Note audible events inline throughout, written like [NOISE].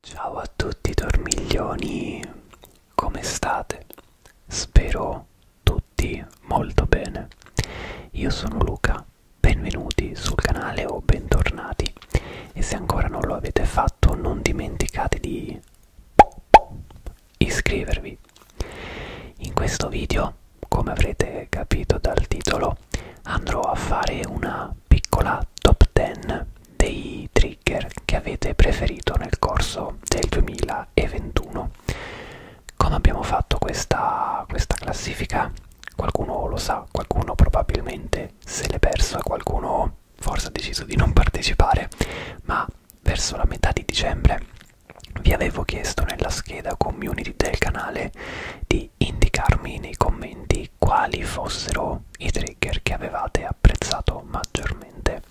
Ciao a tutti dormiglioni, come state? Spero tutti molto bene. Io sono Luca, benvenuti sul canale o bentornati e se ancora non lo avete fatto non dimenticate di iscrivervi. In questo video, come avrete capito dal titolo, andrò a fare una piccola top 10 dei trigger che avete preferito nel corso del 2021 come abbiamo fatto questa, questa classifica qualcuno lo sa qualcuno probabilmente se l'è perso e qualcuno forse ha deciso di non [LAUGHS] partecipare ma verso la metà di dicembre vi avevo chiesto nella scheda community del canale di indicarmi nei commenti voi quali fossero i trigger che avevate apprezzato maggiormente.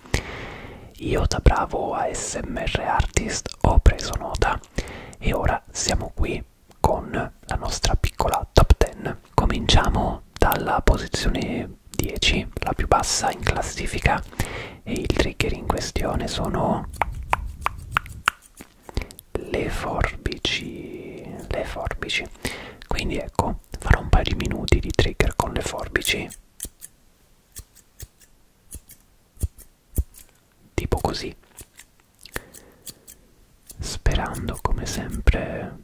Io da bravo ASMR artist ho preso nota e ora siamo qui con la nostra piccola top 10. Cominciamo dalla posizione 10, la più bassa in classifica e il trigger in questione sono le forbici, le forbici. Quindi ecco, video farò un paio di minuti di trigger con le forbici tipo così sperando come sempre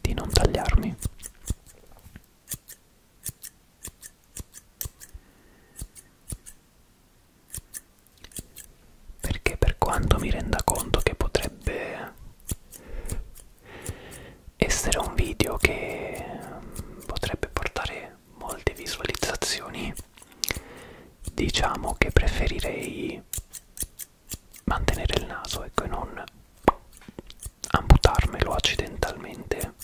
di non tagliarmi perché per quanto mi renda conto che potrebbe essere un video che potrebbe portare molte visualizzazioni diciamo che preferirei mantenere il naso ecco e non amputarmelo accidentalmente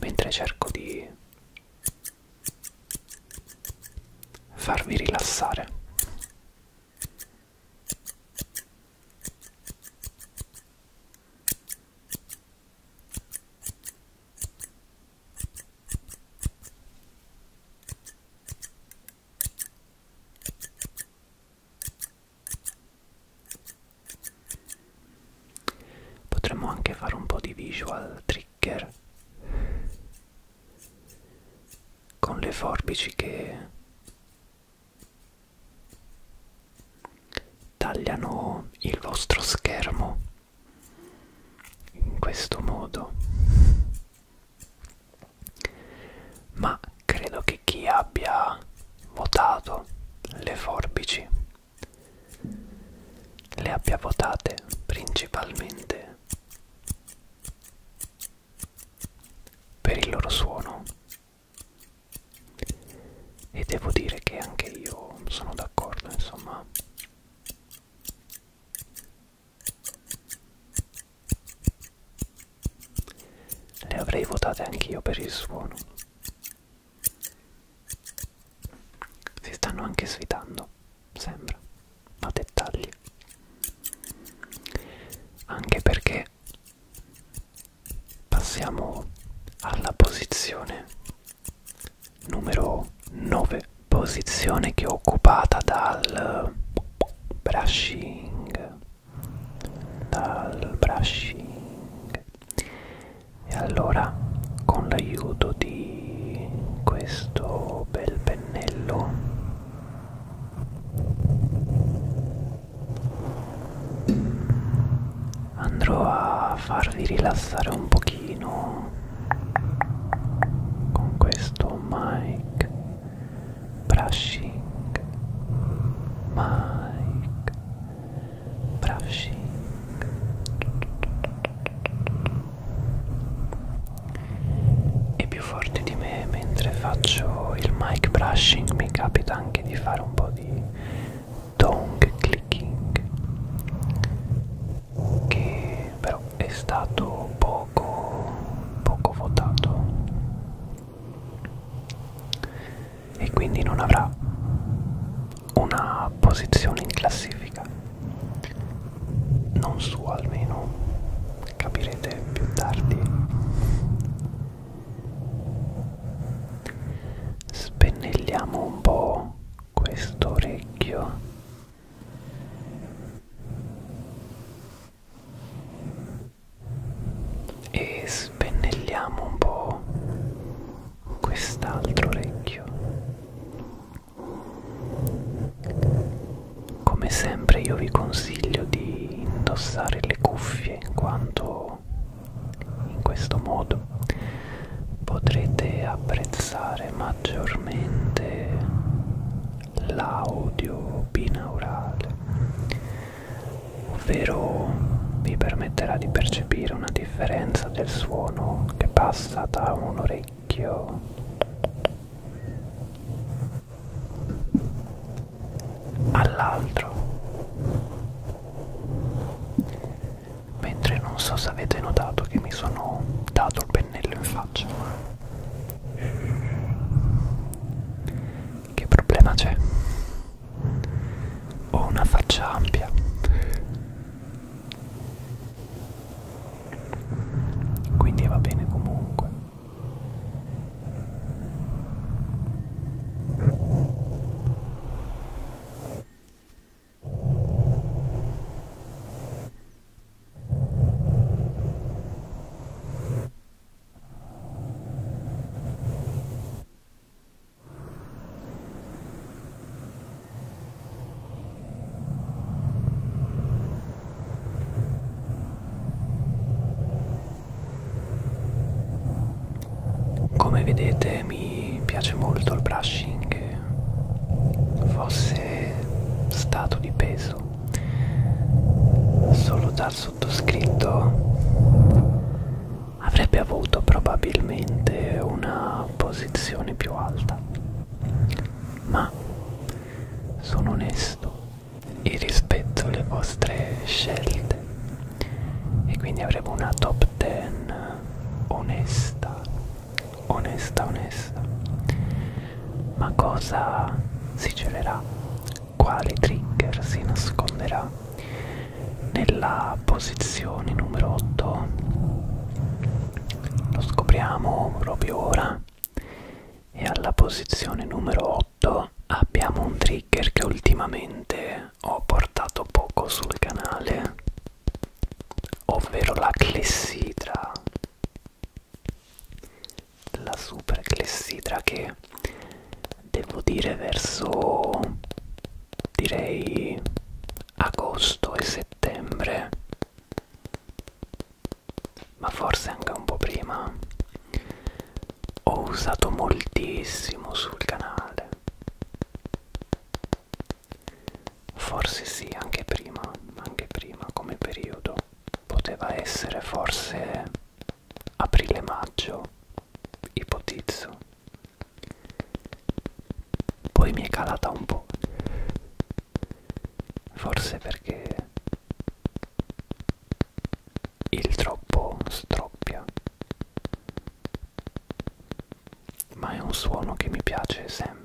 mentre cerco di farvi rilassare Potremmo anche fare un po' di visual trigger con le forbici che tagliano il vostro schermo in questo modo ma credo che chi abbia votato le forbici le abbia votate principalmente per il loro suono e devo dire che anche io sono d'accordo insomma le avrei votate anch'io per il suono si stanno anche sfidando, sembra, a dettagli. Anche perché passiamo alla posizione numero 9, posizione che è occupata dal brushing, dal brushing e allora con l'aiuto di questo bel pennello andrò a farvi rilassare un pochino con questo mic brushing mic brushing e più forte di me mentre faccio il mic brushing mi capita anche di fare un po' di tongue clicking che però è stato poco poco votato e quindi non avrà una posizione in classifica non sua almeno capirete più tardi spennelliamo un po' questo orecchio e spennelliamo un po' quest'altro orecchio. Come sempre io vi consiglio di indossare le cuffie in quanto in questo modo potrete apprezzare maggiormente l'audio binaurale ovvero vi permetterà di percepire una differenza del suono che passa da un orecchio all'altro mentre non so se avete notato che mi sono dato il pennello in faccia che problema c'è ho una faccia ampia. Quindi va bene comunque. Come vedete mi piace molto il brushing che fosse stato di peso solo dal sottoscritto avrebbe avuto probabilmente una posizione più alta. Ma sono onesto e rispetto le vostre scelte e quindi avremo una top 10 onesta, onesta, onesta. Ma cosa si celerà? Quale trigger si nasconderà? nella posizione numero 8 lo scopriamo proprio ora e alla posizione numero 8 abbiamo un trigger che ultimamente ho portato poco sul canale ovvero la clessidra la super clessidra che devo dire verso direi agosto e settembre ma forse anche un po' prima ho usato moltissimo sul canale forse sì anche prima anche prima come periodo poteva essere forse aprile maggio ipotizzo poi mi è calata un po'. Forse perché il troppo stroppia. Ma è un suono che mi piace sempre.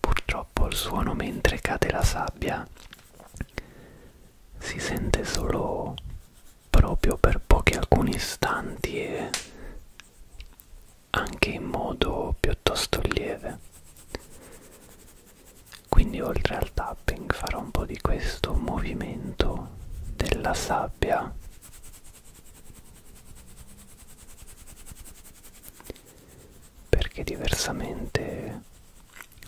Purtroppo il suono mentre cade la sabbia si sente solo proprio per pochi alcuni istanti e anche in modo piuttosto lieve quindi oltre al tapping farò un po' di questo movimento della sabbia perché diversamente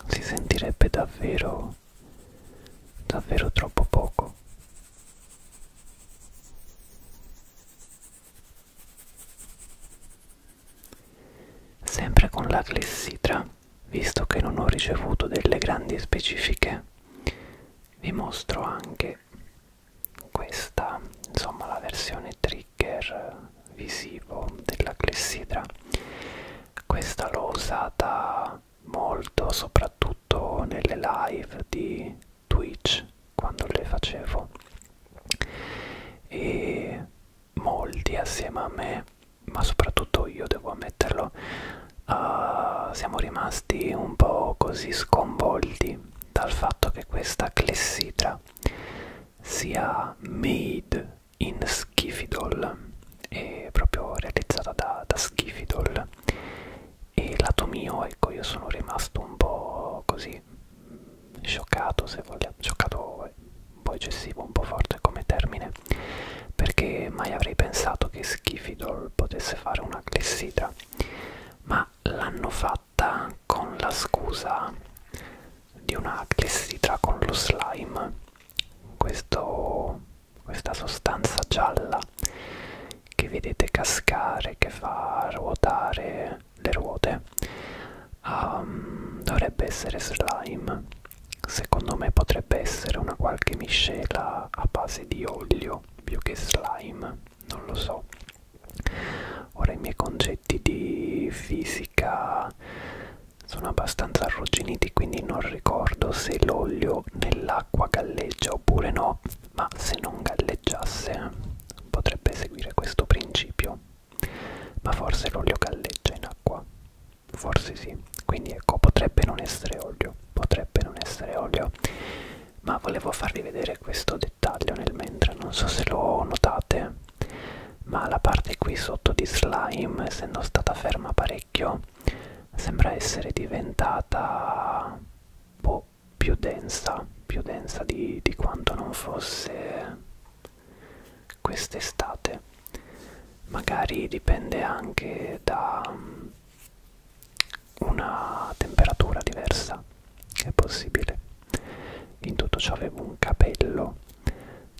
si sentirebbe davvero davvero troppo poco Sempre con la clessidra, visto che non ho ricevuto delle grandi specifiche, vi mostro anche questa, insomma la versione trigger visivo della clessidra. Questa l'ho usata molto, soprattutto nelle live di Twitch quando le facevo e molti assieme a me, ma soprattutto io devo ammetterlo, uh, siamo rimasti un po' così sconvolti dal fatto che questa clessidra sia made in Schifidol è proprio realizzata da, da Schifidol e lato mio ecco io sono rimasto un po' così così scioccato se vogliamo scioccato un po' eccessivo un po' forte come termine perché mai avrei pensato che Schifidol potesse fare una clessidra ma l'hanno fatta con la scusa di una clessidra con lo slime Questo, questa sostanza gialla che vedete cascare che fa ruotare le ruote um, dovrebbe essere slime secondo me potrebbe essere una qualche miscela a base di olio più che slime non lo so ora i miei concetti di fisica sono abbastanza arrugginiti quindi non ricordo se l'olio nell'acqua galleggia oppure no ma se non galleggiasse potrebbe seguire questo principio ma forse l'olio galleggia in acqua. Forse sì. Quindi ecco, potrebbe non essere olio. Potrebbe non essere olio. Ma volevo farvi vedere questo dettaglio nel mentre. Non so se lo notate. Ma la parte qui sotto di slime, essendo stata ferma parecchio, sembra essere diventata un boh, po' più densa, più densa di, di quanto non fosse quest'estate magari dipende anche da mm, una temperatura diversa è possibile in tutto ciò avevo un capello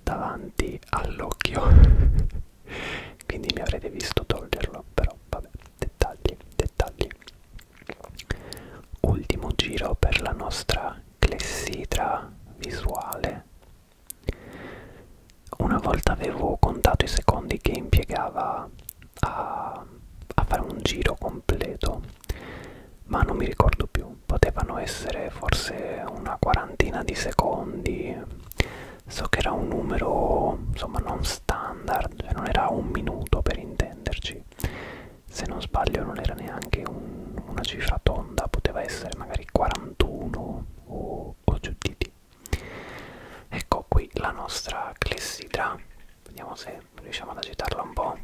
davanti all'occhio [LAUGHS] quindi mi avrete visto toglierlo però vabbè dettagli dettagli ultimo giro per la nostra clessidra visuale. Una volta avevo contato i secondi che impiegava a, a fare un giro completo, ma non mi ricordo più, potevano essere forse una quarantina di secondi, so che era un numero insomma non standard, cioè non era un minuto per intenderci se non sbaglio non era neanche un, una cifra tonda, poteva essere magari 41 o, o giù di lì. Ecco qui la nostra clessidra, vediamo se riusciamo ad agitarla un po',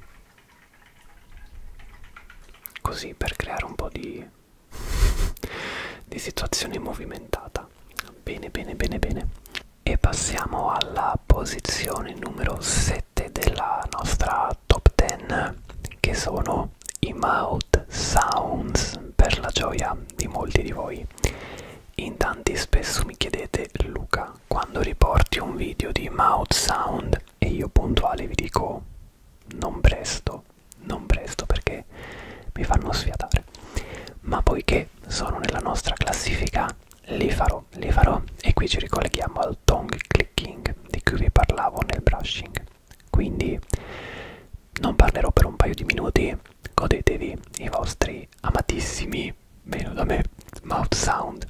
così per creare un po' di, di situazione movimentata. Bene, bene, bene, bene. E passiamo alla posizione numero 7 sette della nostra top 10 che sono i mouth sounds per la gioia di molti di voi. In tanti spesso mi chiedete Luca quando riporti un video di mouth sound e io puntuale vi dico non presto, non presto perché mi fanno sfiatare. Ma poiché sono nella nostra classifica li farò, li farò e qui ci ricolleghiamo al tongue clicking tecniche di cui vi parlavo nel brushing. Quindi non parlerò per un paio di minuti, godetevi i vostri amatissimi, meno da me, mouth sound.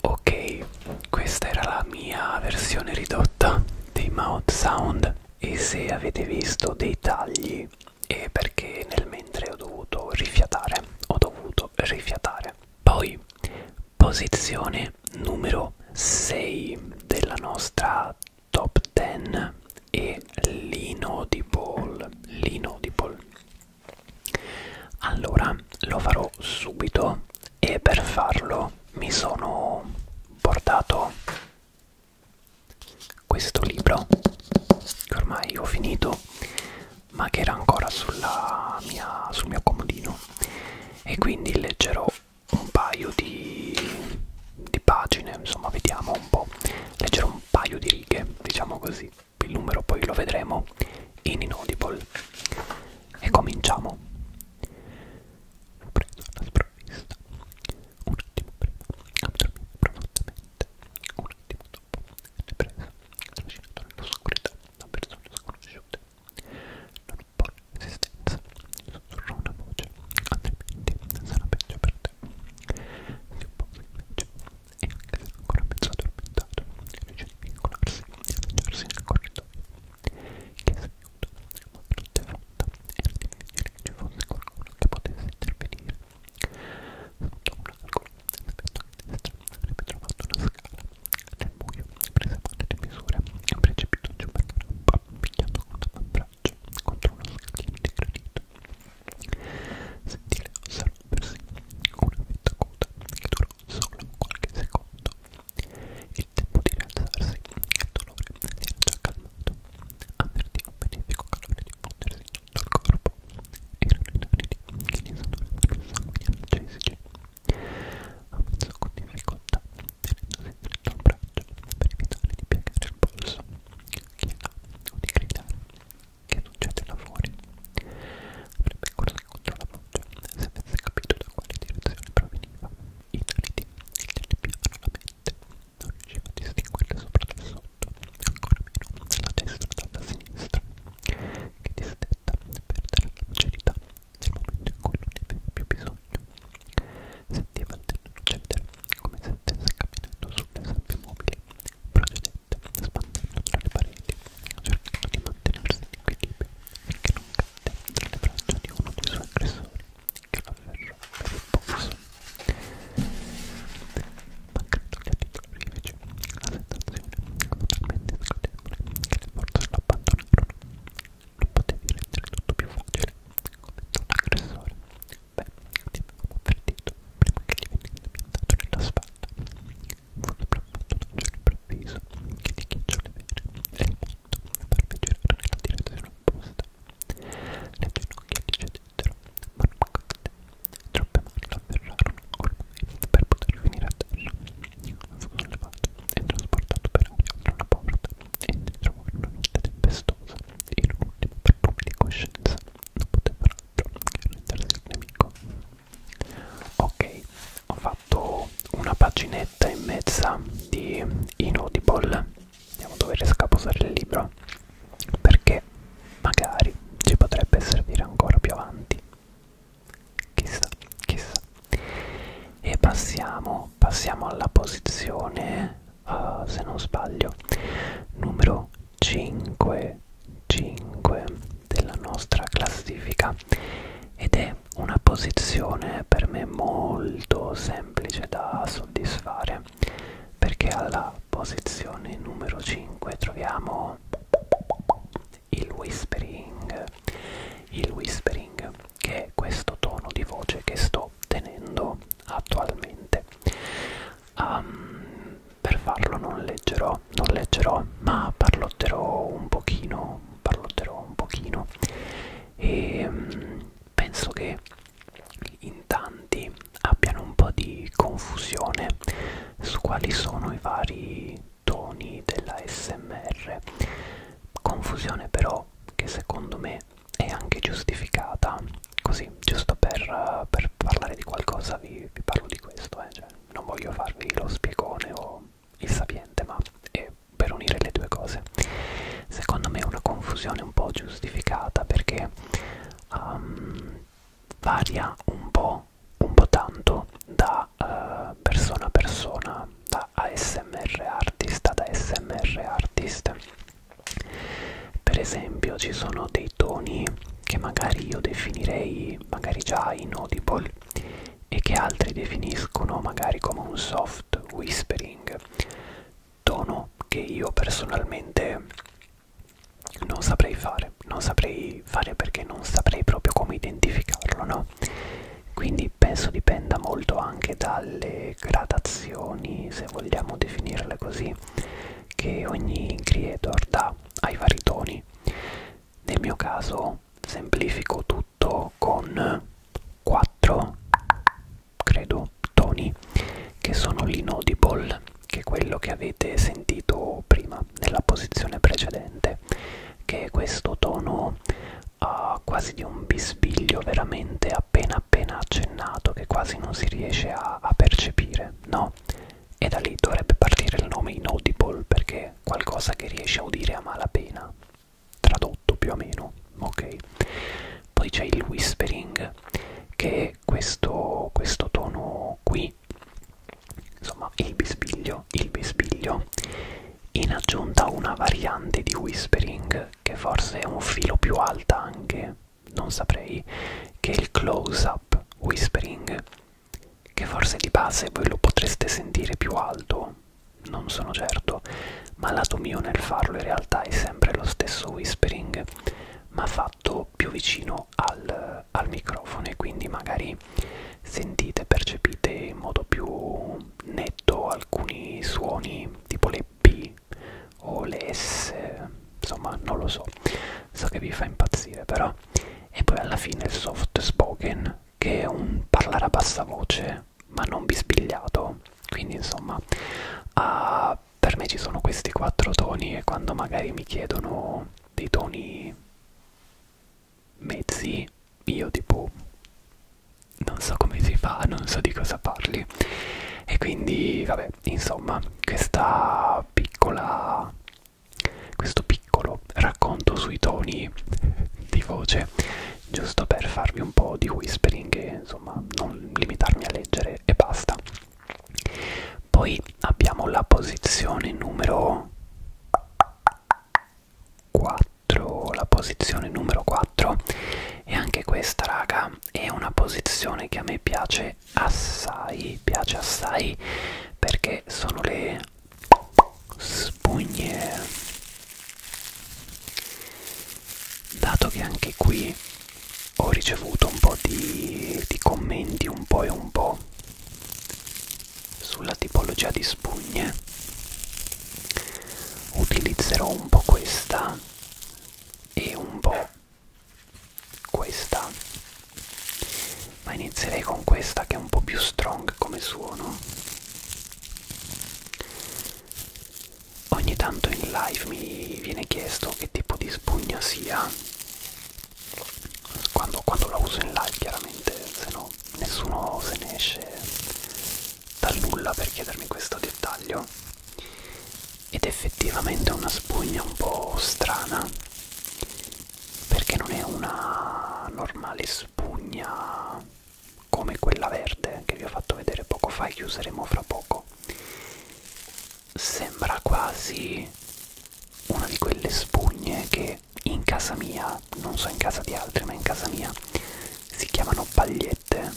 Ok, questa era la mia versione ridotta dei mouth sound e se avete visto dei tagli è perché nel mentre ho dovuto rifiatare, ho dovuto rifiatare. Poi, posizione numero 6 della nostra top 10 è l'inaudible, l'inaudible. Allora, lo farò subito e per farlo mi sono portato questo libro che ormai ho finito ma che era ancora sulla mia, sul mio comodino e quindi leggerò un paio di, di pagine insomma vediamo un po' leggerò un paio di righe diciamo così il numero poi lo vedremo in inaudible e cominciamo L'ho preso alla sprovvista. Un attimo prima addormento profondamente. Un attimo dopo ripreso, trascinato nell'oscurità da persone sconosciute. Non ho resistenza, sussurrò una voce, altrimenti sarà peggio per te. Si oppose invece, e anche se era ancora mezzo addormentato, invece di vincolarsi e lanciarsi nel corridoio, chiese di aiuto, ma tutto è vuoto era difficile che ci fosse qualcuno che potesse intervenire. Sotto un angolo, ripeto a destra, avrebbe trovato una scala. Nel buio, prese male le misure e precipitò giù per la rampa, pigliando con l'avambraccio contro uno scalino di granito. Sentì le ossa rompersi, una fitta coda che durò solo qualche secondo. Il tempo di rialzarsi e il dolore si era già calmato. Avvertì un benefico calore diffondersi in tutto il corpo. Erano i naridi che gli esadoravano sanguini analgesici. Avanzò con difficoltà, tenendosi stretto al braccio per evitare di piegare il polso. Chi è là? O di gridare. Che succede là fuori? Avrebbe corso incontro alla voce se avesse capito da quale direzione proveniva. I naridi quindi il telepiano alla mente non riusciva a distinguere sopra dal sotto, ancora meno dalla destra dalla sinistra, che distetta perdere la lucidità nel momento in cui non ne aveva più bisogno. Sentiva il terreno cedere, come se stesse camminando sulle sabbie mobili, procedette, spandendo tra le pareti, cercando di mantenersi in equilibrio, finché non cadde tra le braccia di uno dei suoi aggressori che la ferro per il polso mancando gli articoli invece la sensazione totalmente sgradevole che le forze l'abbandonarono non potevi rendere tutto più facile ho detto l'aggressore beh ti avevo avvertito prima che gli venisse piantato nella spalla fu sopraffatto da un cielo improvviso che ti ghiacciò le vere e il letto e farmi girare nella direzione opposta. Le ginocchia gli cedettero, ma non cadde. Troppe mani lo afferrarono ormai per poter finire a terra. Fu sollevato e trasportato per aria oltre una porta e si trovò in una notte tempestosa in un ultimo barlume di coscienza. Non poteva altro che rendersi il nemico. Ok, ho fatto una pagina un'oretta e mezza di inaudible devo dover scapostare il libro perché magari ci potrebbe servire ancora più avanti chissà chissà e passiamo passiamo alla posizione uh, se non sbaglio numero 5 5 della nostra classifica ed è è una posizione per me molto semplice da soddisfare perché alla posizione numero 5 troviamo il whispering il whispering che è questo tono di voce che sto tenendo attualmente um, per farlo non leggerò non leggerò ma parlotterò un pochino parlotterò un pochino e um, penso che in tanti abbiano un po' di confusione su quali sono i vari toni della smr confusione però che secondo me è anche giustificata così giusto per, per parlare di qualcosa vi, vi parlo di questo eh? cioè, non voglio farvi lo spiegone o il sapiente ma è per unire le due cose secondo me è una confusione un po' giustificata perché um, varia un po' un po' tanto da uh, persona a persona da ASMR artist ad ASMR artist per esempio ci sono dei toni che magari io definirei magari già inaudible e che altri definiscono magari come un soft whispering tono che io personalmente non saprei fare non saprei fare perché non saprei proprio come identificarlo no quindi penso dipenda molto anche dalle gradazioni se vogliamo definirle così che ogni creator dà ai vari toni nel mio caso semplifico tutto tutto con quattro credo toni che sono l'inaudible che è quello che avete sentito prima nella posizione precedente che è questo tono uh, quasi di un bisbiglio veramente appena appena accennato che quasi non si riesce a, a percepire no e da lì dovrebbe partire il nome inaudible perché è qualcosa che riesce a udire a malapena tradotto più o meno, ok? Poi c'è il whispering, che è questo, questo tono qui, insomma il bisbiglio, il bisbiglio, in aggiunta a una variante di whispering, che forse è un filo più alta anche, non saprei, che è il close-up whispering, che forse di base voi lo potreste sentire più alto non sono certo, ma lato mio nel farlo in realtà è sempre lo stesso whispering, ma fatto più vicino al, al microfono e quindi magari sentite, percepite in modo più netto alcuni suoni tipo le P o le S, insomma non lo so, so che vi fa impazzire però. E poi alla fine il soft spoken che è un parlare a bassa voce ma non bisbigliato quindi insomma uh, per me ci sono questi quattro toni e quando magari mi chiedono dei toni mezzi io tipo non so come si fa non so di cosa parli e quindi vabbè insomma questa piccola questo piccolo racconto sui toni di voce giusto per farvi un po' di whispering e insomma non limitarmi a leggere e basta. Poi abbiamo la posizione numero 4, la posizione numero 4 e anche questa raga è una posizione che a me piace assai, piace assai perché sono le spugne dato che anche qui ho ricevuto un po' di, di commenti un po' e un po' sulla tipologia di spugne utilizzerò un po' questa e un po' questa ma inizierei con questa che è un po' più strong come suono ogni tanto in live mi viene chiesto che tipo di spugna sia quando, quando la uso in live chiaramente se no nessuno se ne esce da nulla per chiedermi questo dettaglio ed effettivamente è una spugna un po' strana perché non è una normale spugna come quella verde che vi ho fatto vedere poco fa e che useremo fra poco sembra quasi una di quelle spugne che in casa mia non so in casa di altri ma in casa mia si chiamano pagliette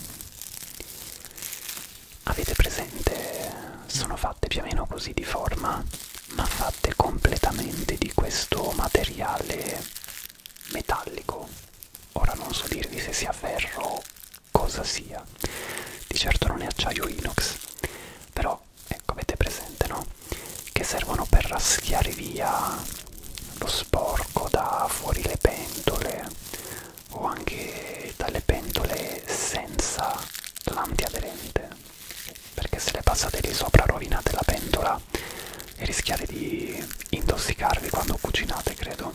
avete presente sono fatte più o meno così di forma ma fatte completamente di questo materiale metallico Ora non so dirvi se sia ferro o cosa sia, di certo non è acciaio inox, però ecco avete presente no? Che servono per raschiare via lo sporco da fuori le pentole o anche dalle pentole senza l'antiaderente perché se le passate lì sopra rovinate la pentola e rischiate di intossicarvi quando cucinate credo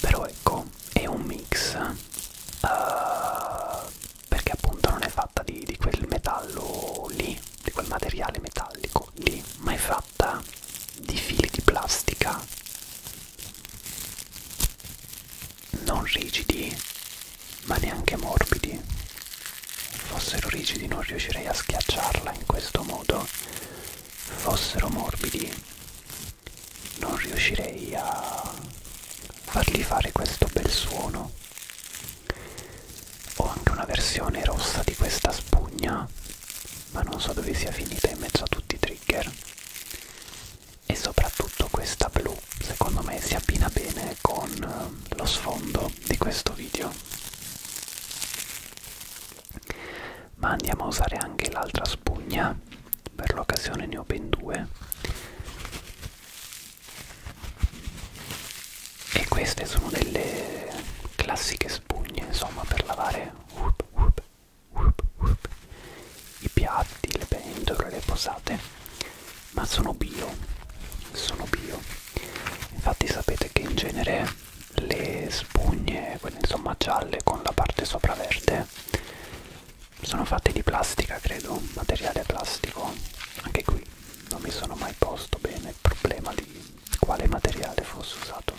però ecco è un mix uh, perché appunto non è fatta di, di quel metallo lì di quel materiale metallico lì ma è fatta di fili di plastica non rigidi ma neanche morbidi fossero rigidi non riuscirei a schiacciarla in questo modo fossero morbidi non riuscirei a fargli fare questo bel suono ho anche una versione rossa di questa spugna ma non so dove sia finita in mezzo a tutti i trigger e soprattutto questa blu secondo me si abbina bene con eh, lo sfondo di questo video ma andiamo a usare anche l'altra spugna per l'occasione ne ho ben due e queste sono delle classiche spugne insomma per lavare up, up, up, i piatti, le pentole, le posate ma sono bio sono bio infatti sapete che in genere le spugne quelle insomma gialle con la parte sopra verde sono fatte di plastica credo materiale plastico anche qui non mi sono mai posto bene il problema di quale materiale fosse usato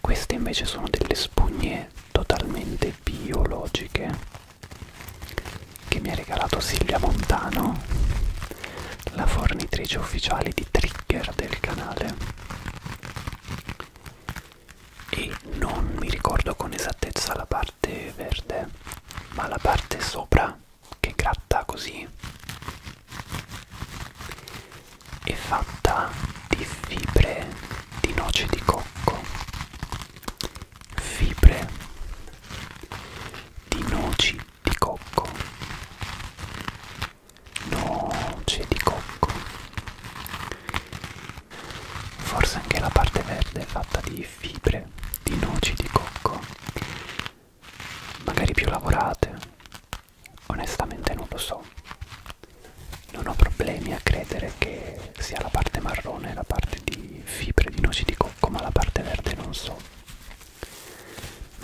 queste invece sono delle spugne totalmente biologiche che mi ha regalato Silvia Montano la fornitrice ufficiale di trigger del canale e non mi ricordo con esattezza la parte verde ma la parte sopra che gratta così è fatta di fibre di noce di cocco fibre di noci di cocco noce di cocco forse anche la parte verde è fatta di fibre di noci di cocco magari più lavorate onestamente non lo so non ho problemi a credere che sia la parte marrone la parte di fibre di noci di cocco ma la parte verde non so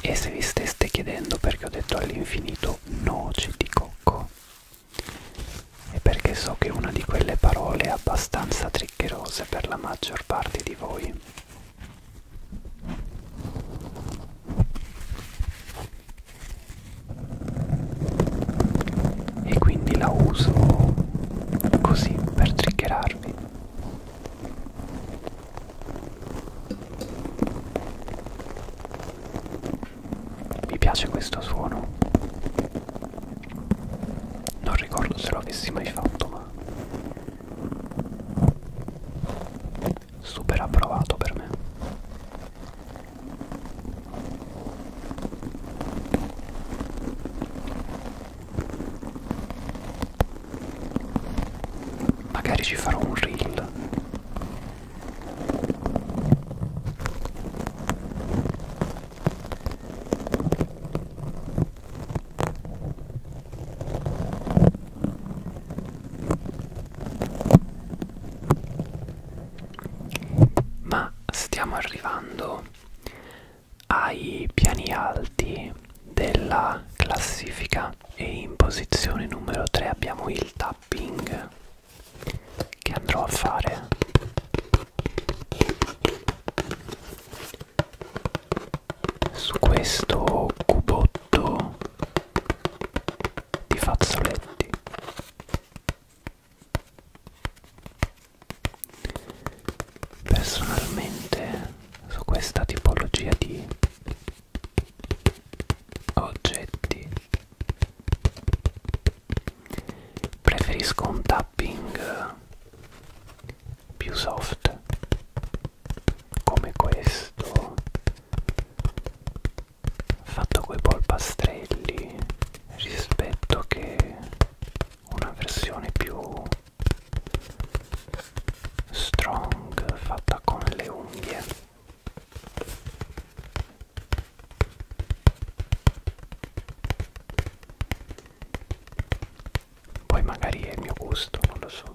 e se vi steste chiedendo perché ho detto all'infinito noci di cocco, è perché so che una di quelle parole è abbastanza triccherose per la maggior parte di voi. E quindi la uso così per triggerarvi. Mi piace questo suono. Non ricordo se lo avessi mai fatto, ma super approvato per me. Magari ci farò un reel. Ma stiamo arrivando ai piani alti della classifica e in posizione numero 3 abbiamo il tapping che andrò a fare su questo cubotto di fazzoletti personalmente su questa tipologia di oggetti preferisco un tapping più soft come questo fatto coi polpastrelli rispetto che una versione più strong fatta con le unghie poi magari è il mio gusto non lo so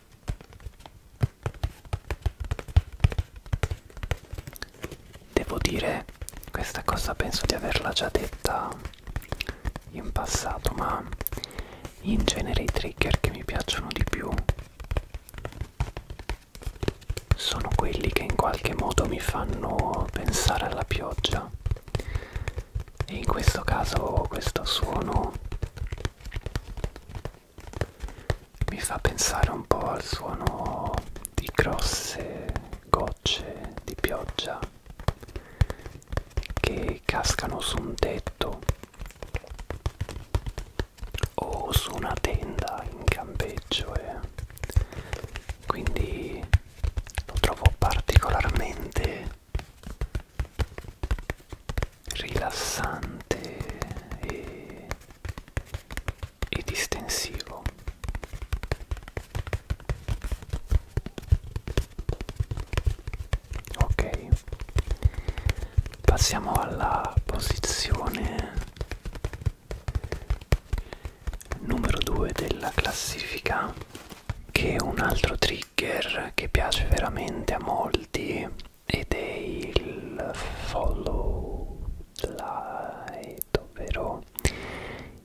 Devo dire, questa cosa penso di averla già detta in passato, ma in genere i trigger che mi piacciono di più sono quelli che in qualche modo mi fanno pensare alla pioggia e in questo caso questo suono mi fa pensare un po' al suono di grosse gocce di pioggia che cascano su un tetto o su una tenda in campeggio e eh. quindi lo trovo particolarmente rilassante e, e distensivo ok passiamo alla posizione numero 2 della classifica che è un altro trigger che piace veramente a molti ed è il follow light ovvero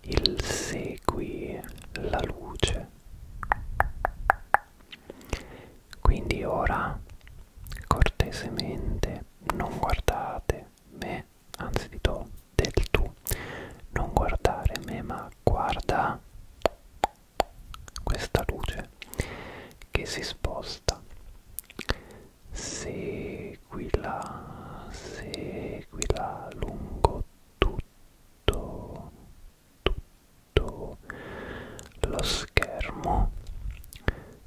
il segui la luce quindi ora cortesemente non guardate me anzi ti do del tu non guardare me ma guarda questa luce che si sposta seguila seguila lungo tutto tutto lo schermo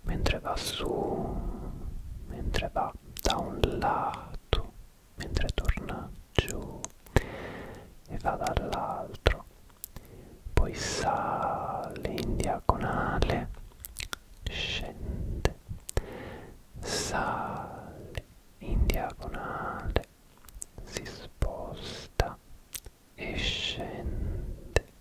mentre va su mentre va da un lato mentre torna giù e va dall'altro poi sale in diagonale scende sale in diagonale si sposta e scende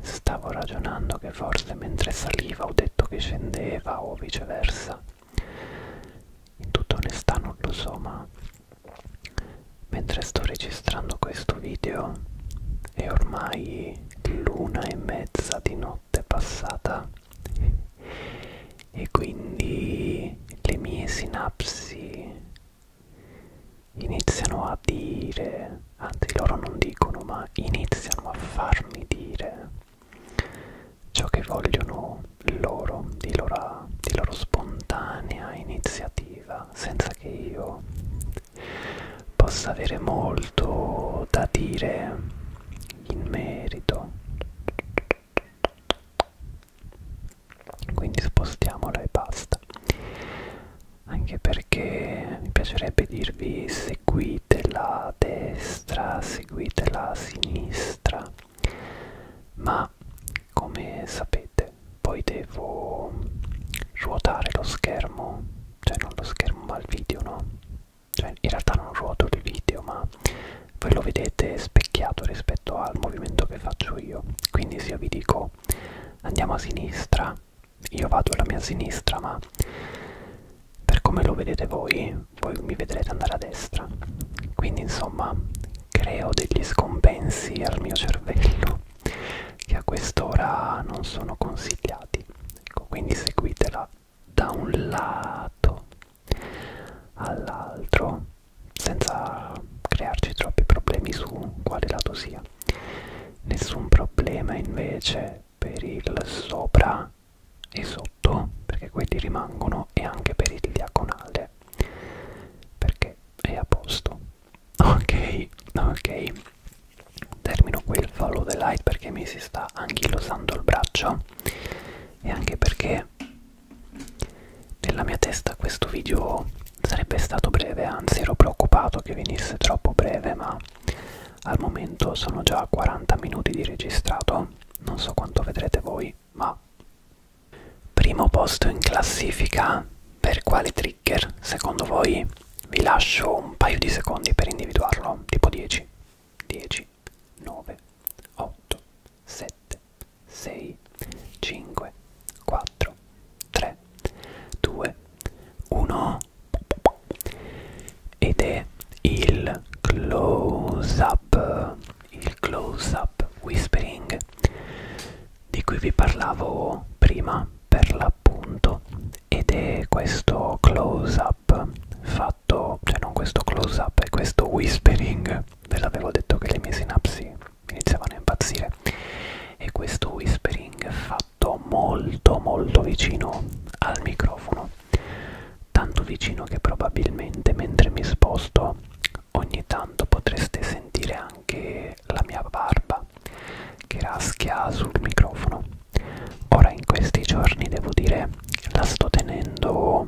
stavo ragionando che forse mentre saliva ho detto che scendeva o viceversa in tutta onestà non lo so, ma mentre sto registrando questo video è ormai l'una e mezza di notte passata e quindi le mie sinapsi iniziano a dire, anzi loro non dicono, ma iniziano a farmi dire ciò che vogliono loro, di loro, di loro spontanea iniziativa, senza che io possa avere molto da dire in merito. Quindi spostiamola e basta. Anche perché mi piacerebbe dirvi seguite la destra, seguite la sinistra ma come sapete poi devo ruotare lo schermo cioè non lo schermo ma il video no cioè in realtà non ruoto il video ma voi lo vedete specchiato rispetto al movimento che faccio io quindi se io vi dico andiamo a sinistra io vado alla mia sinistra ma per come lo vedete voi voi mi vedrete andare a destra quindi insomma creo degli scompensi al mio cervello che a quest'ora non sono consigliati ecco quindi seguitela da un lato all'altro senza crearci troppi problemi su quale lato sia nessun problema invece per il sopra e sotto perché quelli rimangono e anche per il diagonale perché è a posto ok ok termino qui il follow the light perché mi si sta anchilosando il braccio e anche perché nella mia testa questo video sarebbe stato breve anzi ero preoccupato che venisse troppo breve ma al momento sono già a 40 minuti di registrato non so quanto vedrete voi voi, ma... Primo posto in classifica, per quale trigger secondo voi? Vi lascio un paio di secondi per individuarlo, tipo 10, 10, 9, 8, 7, 6, 5, 4, 3, 2, 1 ed è il close up il close up whispering di cui vi parlavo prima per l'appunto ed è questo close up fatto cioè non questo close up è questo whispering ve l'avevo detto che le mie sinapsi iniziavano a impazzire e questo whispering fatto molto molto vicino al microfono tanto vicino che probabilmente mentre mi sposto ogni tanto potreste sentire anche la mia barba che raschia sul microfono. Ora in questi giorni devo dire la sto tenendo,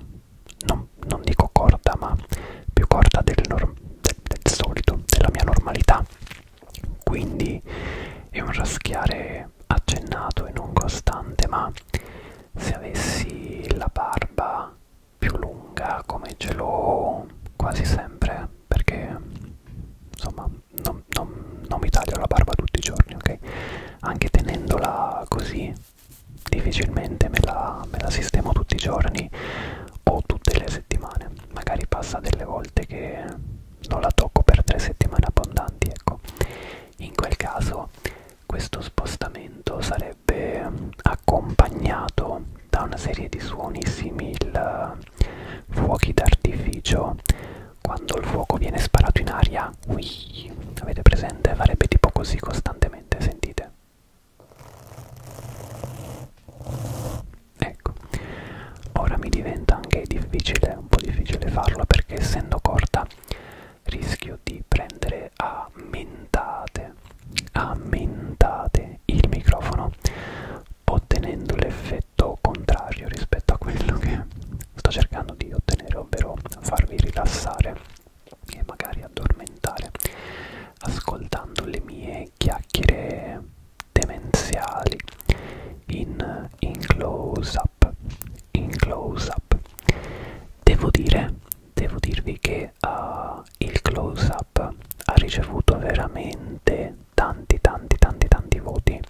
non, non dico corta, ma più corta del, del, del solito, della mia normalità. Quindi è un raschiare accennato e non costante, ma se avessi la barba più lunga come ce l'ho quasi sempre perché insomma non, non, non mi taglio la barba tutti i giorni ok anche tenendola così difficilmente me la, me la sistemo tutti i giorni o tutte le settimane magari passa delle volte che non la tocco per tre settimane abbondanti ecco in quel caso questo spostamento sarebbe accompagnato da una serie di suoni simili a fuochi d'artificio quando il fuoco viene sparato in aria ui, avete presente? farebbe tipo così costantemente sentite ecco ora mi diventa anche difficile un po' difficile farlo perché essendo corta rischio di prendere mentate ammentate ammentate il microfono ottenendo l'effetto contrario rispetto a quello che sto cercando di ottenere ovvero farvi rilassare e magari addormentare ascoltando le mie chiacchiere demenziali in, in close up in close up devo dire devo dirvi che uh, il close up ha ricevuto veramente tanti tanti tanti tanti voti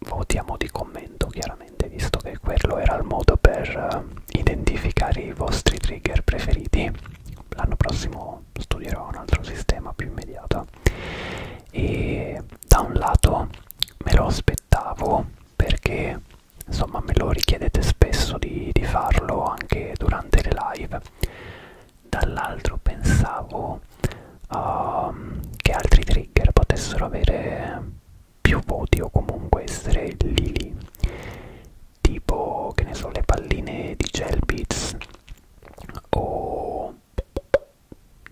voti a mo' di commento chiaramente visto che quello era il modo per uh, identificare i vostri trigger preferiti l'anno prossimo studierò un altro sistema più immediato e da un lato me lo aspettavo aspettavo perché insomma me lo richiedete spesso di, di farlo anche durante le live dall'altro pensavo um, che altri trigger potessero avere più voti o comunque essere lì lì tipo che ne so le palline di gel beats o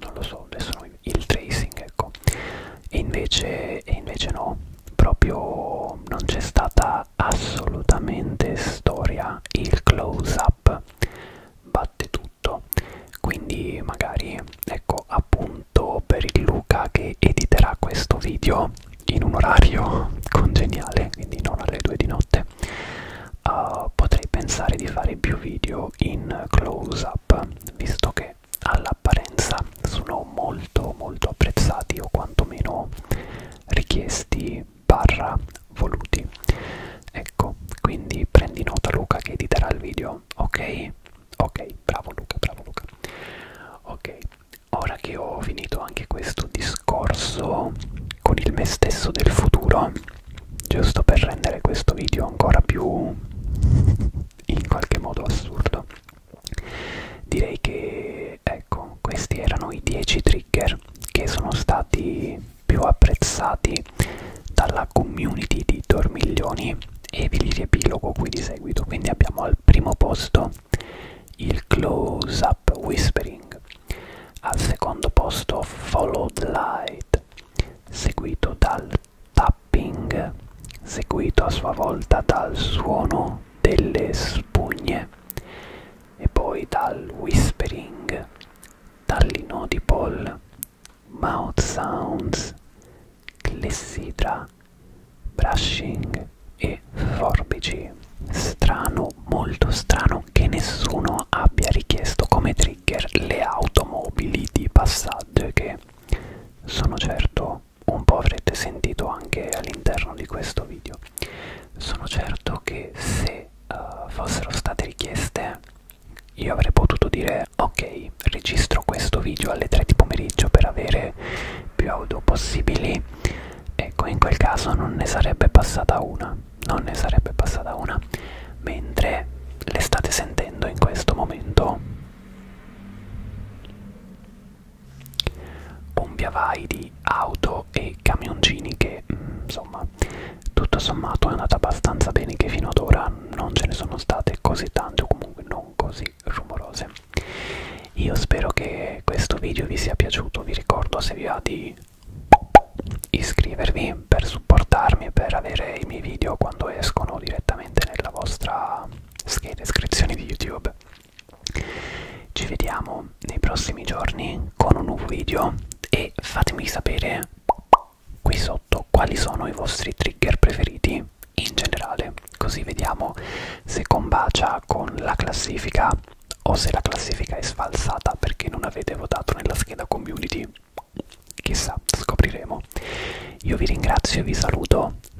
non lo so adesso il tracing ecco e invece, e invece no proprio non c'è stata assolutamente storia il close up batte tutto quindi magari ecco appunto per il Luca che editerà questo video in un orario [LAUGHS] congeniale quindi non alle 2 di notte uh, potrei pensare di fare più video in close up visto che che all'apparenza sono molto molto apprezzati o quantomeno richiesti barra voluti ecco quindi prendi nota Luca che editerà il video ok ok bravo Luca bravo Luca ok ora che ho finito anche questo discorso con il me stesso del futuro giusto per rendere questo video ancora più in qualche modo assurdo direi che ecco questi erano i 10 trigger che sono stati più apprezzati dalla community di Dormiglioni e vi li riepilogo qui di seguito quindi abbiamo al primo posto il close up whispering al secondo posto follow the light seguito dal tapping, seguito a sua volta dal suono delle spugne e poi dal whispering, dall'inaudible, mouth sounds, clessidra, brushing e forbici. Strano, molto strano che nessuno abbia richiesto come trigger le automobili di passaggio che sono certo almeno un po' avrete sentito anche all'interno di questo video. Sono certo che se uh, fossero state richieste io avrei potuto dire ok, registro questo video alle 3 di pomeriggio per avere più audio possibili. Ecco, in quel caso non ne sarebbe passata una, non ne sarebbe passata una, mentre le state sentendo in questo momento Bombiavai di auto e camioncini che, mm, insomma, tutto sommato è andata abbastanza bene che fino ad ora non ce ne sono state così tante o comunque non così rumorose. Io spero che questo video vi sia piaciuto, vi ricordo se vi va di iscrivervi per supportarmi e per avere i miei video quando escono direttamente nella vostra descrizione di YouTube. Ci vediamo nei prossimi giorni con un nuovo video e fatemi sapere qui sotto quali sono i vostri trigger preferiti in generale, così vediamo se combacia con la classifica o se la classifica è sfalsata perché non avete votato nella scheda community. Chissà, scopriremo. Io vi ringrazio e vi saluto.